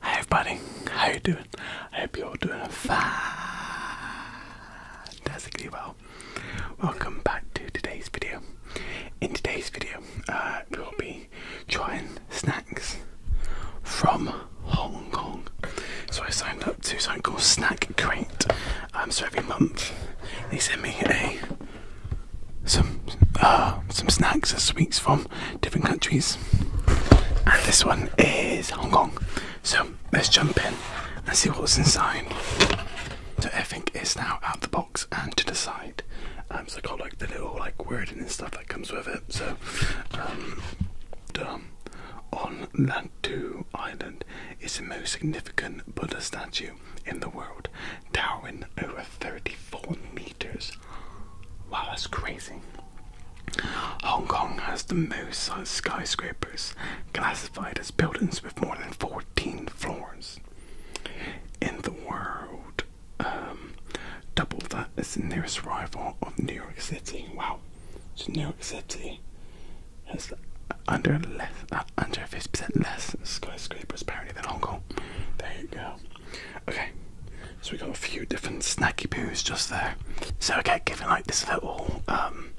Hi everybody, how you doing? I hope you're doing fantastically well. Welcome back to today's video. In today's video, uh, we'll be trying snacks from Hong Kong. So I signed up to something called Snack Crate. Um, so every month they send me some uh, some snacks and sweets from different countries. And this one is Hong Kong. So let's jump in and see what's inside. So everything is now out the box and to the side. Um, so got like the little like wording and stuff that comes with it. So um, on Lantu Island is the most significant Buddha statue in the world, towering over 34 meters Wow, that's crazy. Hong Kong has the most skyscrapers classified as buildings with more than 14 floors in the world. Um, double that is the nearest rival of New York City. Wow. New York City has under less, uh, under 50% less skyscrapers apparently than Hong Kong. There you go. Okay, so we got a few different snacky poos just there. So okay, given like this little um,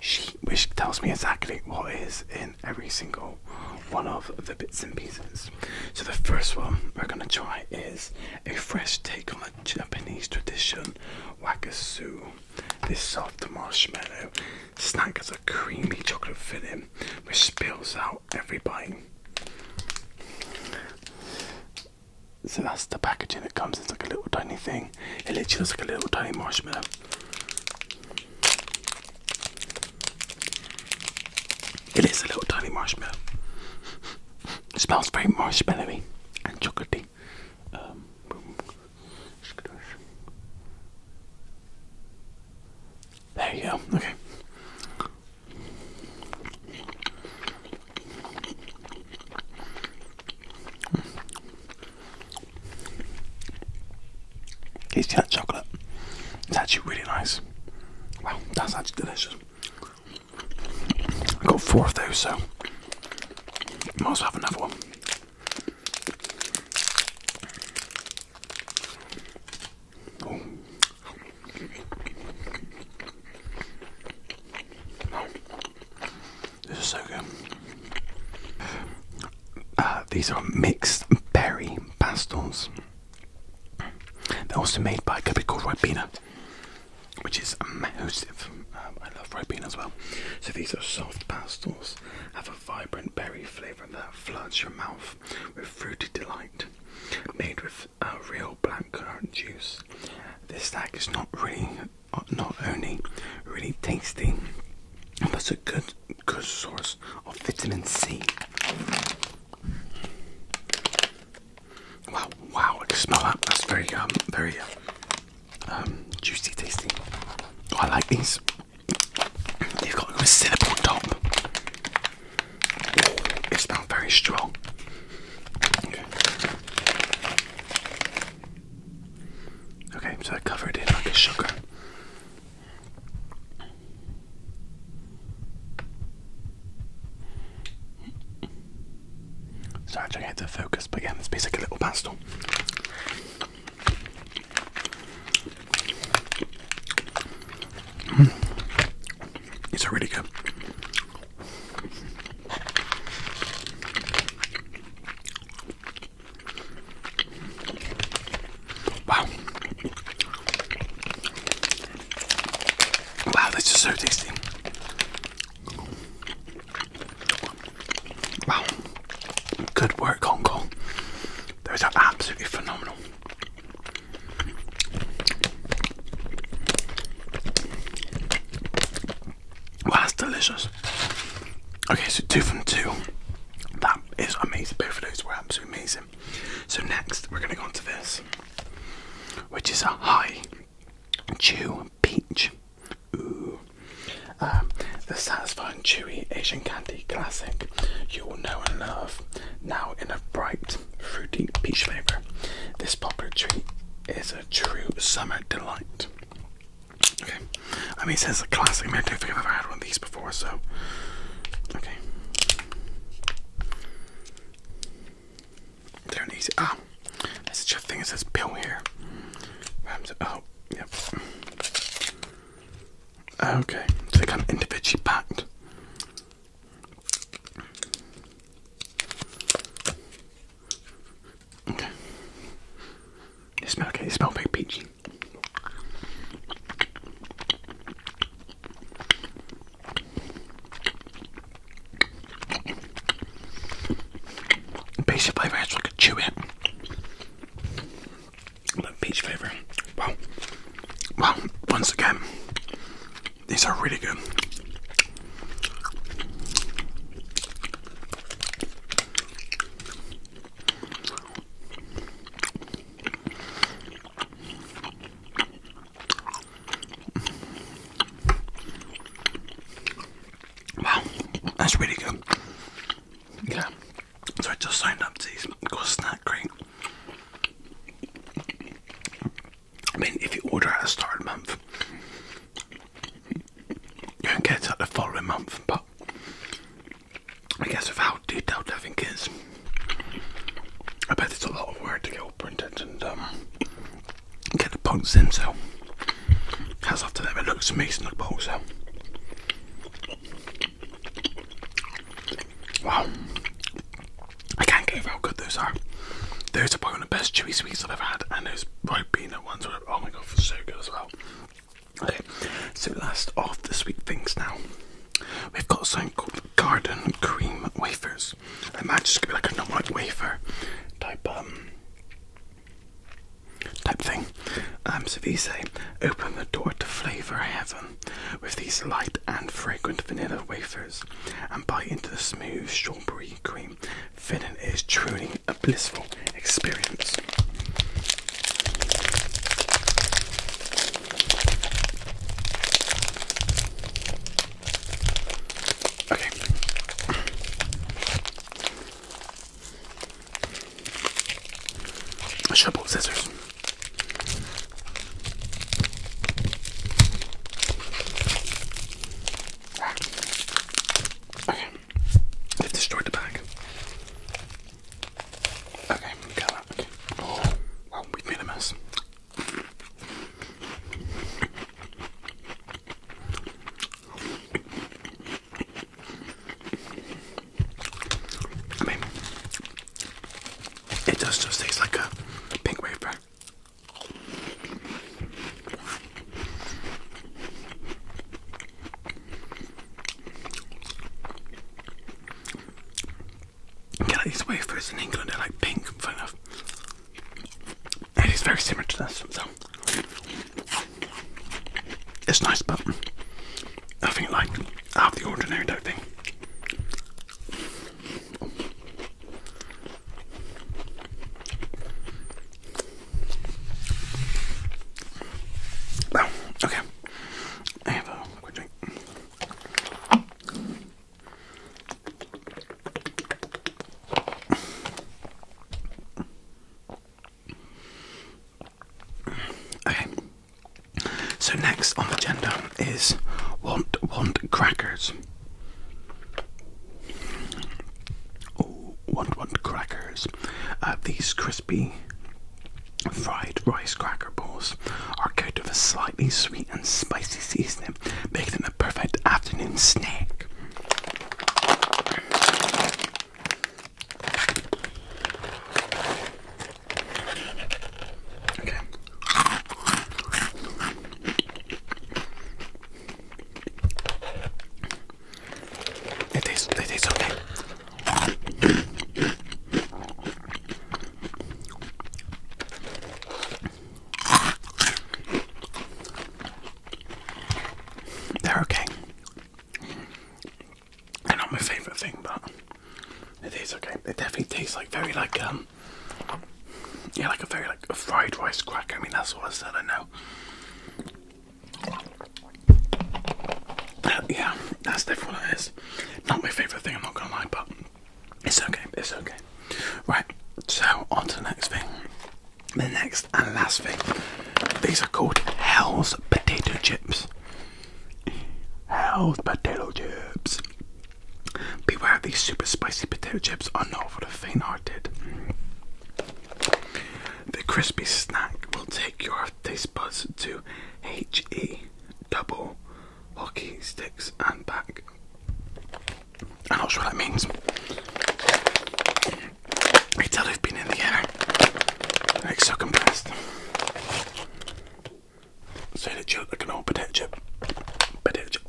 sheet which tells me exactly what is in every single one of the bits and pieces. So the first one we're gonna try is a fresh take on a Japanese tradition wakasu. This soft marshmallow snack has a creamy chocolate filling which spills out every bite. So that's the packaging that comes. It's like a little tiny thing. It literally looks like a little tiny marshmallow. It is a little tiny marshmallow. smells very marshmallowy and chocolatey. Um, there you go. Okay. Tastes that chocolate. It's actually really nice. Wow, that's actually delicious. I got four of those, so I also have another one. Oh. This is so good. Uh, these are mixed berry pastels. They're also made by a company called Ribena, which is massive. Um, I love red Ribena as well. So these are soft pastels, have a vibrant berry flavour that floods your mouth with fruity delight. Made with with uh, real blackcurrant juice. This snack is not really, not only really tasty, but it's a good, good source of vitamin C. Wow, wow, I can smell that. That's very, um, very um, um, juicy, tasty. Oh, I like these. They've got a cinnamon top. It's not very strong. Okay. so I covered it in like a sugar. Sorry, I'm trying to focus, but yeah, it's basically a little pastel. It's really good. Wow. Wow, this is so tasty. Wow. Good work, Hong Kong. Those are absolutely phenomenal. Wow, that's delicious. Okay, so two from two. That is amazing. Both of those were absolutely amazing. So next, we're going to go on to this, which is a high chew peach. Ooh. Um, the satisfying chewy Asian candy classic you will know and love, now in a bright sweet fruity peach flavor. This popular treat is a true summer delight. Okay, I mean, it says a classic. I, I have never had one of these before, so okay. They do Ah, there's such a thing that says pill here. Oh, yep. Okay, I think I'm individually packed. Okay. It smells it smells very peachy. Peachy flavour, I actually could chew it. peach flavour. Wow. Well, once again, these are really good. Wow, that's really good. Yeah. So I just signed up to these called Snack Crate. I mean, if you order at the start of the month, you can get it at the following month, but I guess with how detailed everything is, I bet it's a lot of work to get all printed and um, get the points themselves. so how's after that? It looks amazing, the bowl, Wow. I can't get over how good those are. Those are probably one of the best chewy sweets I've ever had, and those bright peanut ones were oh my god, so good as well. Okay, so last of the sweet things now, we've got some called garden cream wafers. I imagine just gonna be like a normal wafer type um type thing. Um, so these open the door to flavour heaven with these light and fragrant vanilla wafers and bite into the smooth strawberry cream filling. is truly a blissful experience. Okay. Shovel scissors. Okay, they've the bag. Okay, got that. Oh, well, we've made a mess. it does just taste like a pink wafer. Yeah, like these wafers in England are like pink, fun enough. It is very similar to this, so it's nice, but nothing like out of the ordinary, don't think okay. I have a quick drink. Okay. So next on the agenda is want want crackers. Oh, want want crackers. Uh, these crispy fried rice cracker balls are coated with a slightly sweet and spicy seasoning, making them a perfect afternoon snack. Okay, it tastes, it tastes okay. They're okay. They're not my favourite thing, but it okay. It definitely tastes like very like um yeah, like a very like a fried rice crack. I mean, that's all I said. I know. yeah, that's definitely what Not my favorite thing. I'm not gonna lie, but it's okay. It's okay. Right. So on to the next thing. The next and last thing. These are called Hell's potato chips. Hell's potato chips. Beware, these super spicy potato chips are not for the faint-hearted. The crispy snack will take your taste buds to HE double hockey sticks and back. I'm not sure what that means. I tell they've been in the air. Like so compressed. Say you chip, like an old potato chip. Potato chip.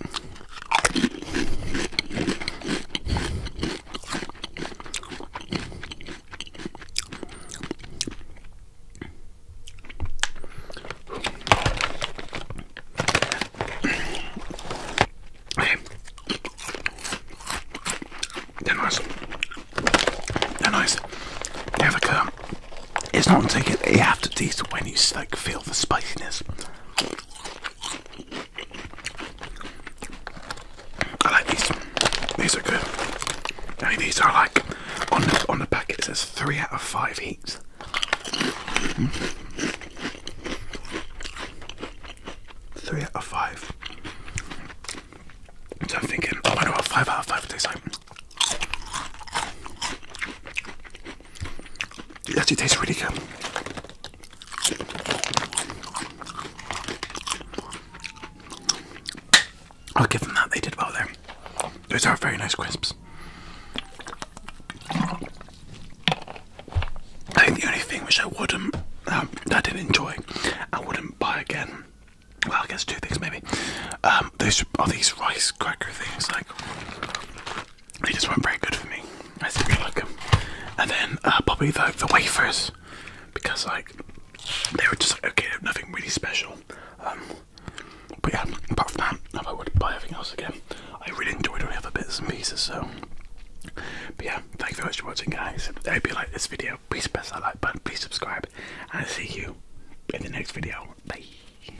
they're nice. They're nice. have like a it's not until you have to taste it when you like feel the spiciness. I like these. These are good. I these are like on the on the packet. says three out of five heats. Three out of five. So I'm thinking, oh, I know five out of five tastes it actually tastes really good. I'll give them that, they did well there. Those are very nice crisps. I think the only thing which I wouldn't, um, I didn't enjoy, I wouldn't buy again. Well, I guess two things maybe. Um, those are these rice cracker things, like they just weren't very good for me. I think didn't like them. And then uh, probably the, the wafers because like they were just like okay, nothing really special. Um, but yeah, apart from that, if I would buy everything else again, I really enjoyed all the other bits and pieces. So, but yeah, thank you very much for watching, guys. I hope you liked this video. Please press that like button. Please subscribe, and i see you in the next video. Bye.